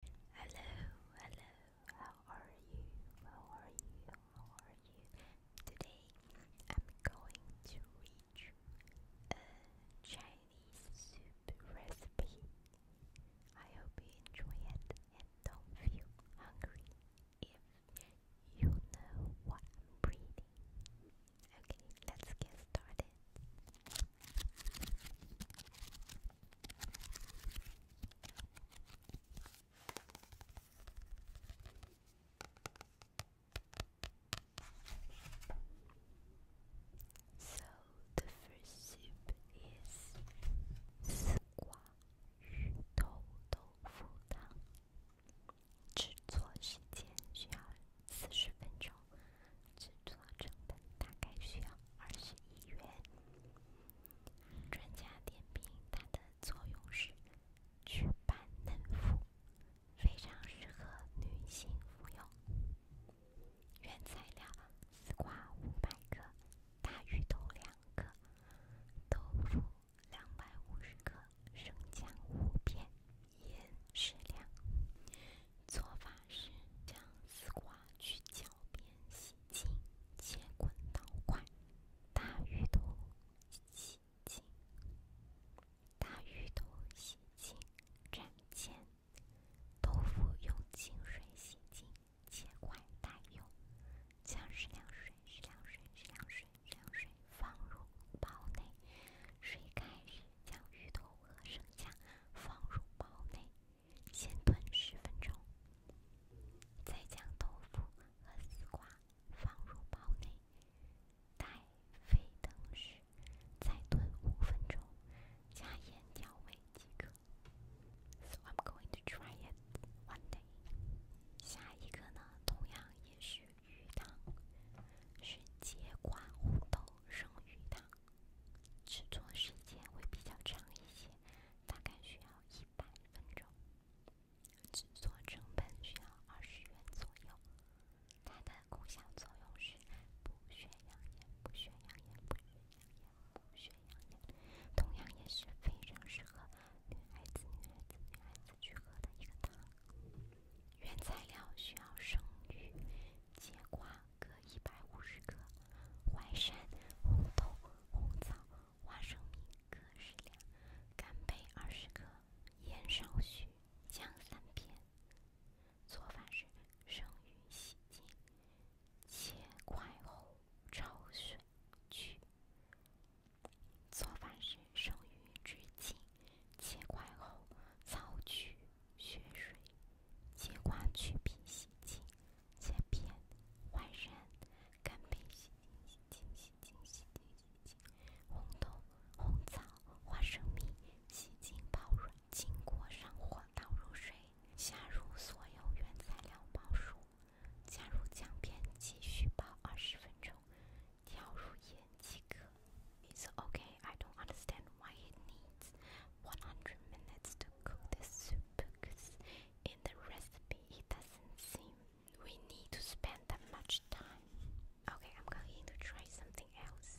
Hello, hello, how are you? How are you? How are you? Today I'm going to read a Chinese soup recipe. I hope you enjoy it and don't feel hungry if you know what I'm reading. Okay, let's get started. So，the s f i r 所以，第一道汤是鱼头豆腐汤。制作时间需要四十分钟，制作成本大概需要二十一元。专家点评：它的作用是祛斑嫩肤，非常适合女性服用。原材料：丝瓜五百克，大芋头两个，豆腐两百五十克，生姜五片，盐适量。做法是：将丝瓜去角边，洗。请切滚刀块，大鱼头洗净，大鱼头洗净，斩件。豆腐用清水洗净，切块待用。将适量水、适量水、适量水、适量水放入煲内，水开时将芋头和生姜放入煲内。先炖十分钟，再将豆腐和丝瓜放入煲内，待沸腾时再炖五分钟，加盐调味即可。So I'm going to try it one day。下一个呢，同样也是鱼汤，是节瓜红豆生鱼汤，制作时间会比较长一些。大概需要一百分钟，制作成本需要二十元左右。它的功效作用是补血养颜、补血养颜、补血养颜、补血养颜，同样也是非常适合女孩子、女孩子、女孩子去喝的一个汤。原材料需要生鱼、节瓜。各一百五十克，淮山、红豆、红枣、花生米各适量，干贝二十克，盐少许，姜三片。做法是：生鱼洗净，切块后焯水去。做法是：生鱼洗净，切块后焯去血水。切瓜去皮洗净，切片；淮山、干冰洗净，洗净、洗、净洗、净洗、净洗；红豆、红枣、花生米洗净泡软。进锅上火倒入水，下入所有原材料包入，加入姜片继续泡二十分钟，调入盐即可。i t s OK. I don't understand why it needs. 100 minutes to cook the soup because in the recipe it doesn't seem we need to spend that much time. Okay, I'm going to try something else.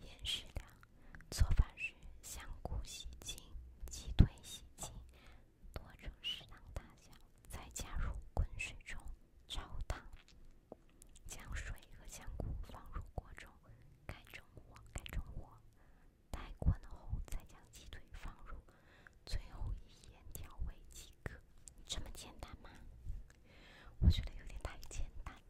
盐适量。做饭时，香菇洗净，鸡腿洗净，剁成适当大小，再加入滚水中焯烫。将水和香菇放入锅中，开中火，开中火。待滚后，再将鸡腿放入，最后一盐调味即可。这么简单吗？我觉得有点太简单了。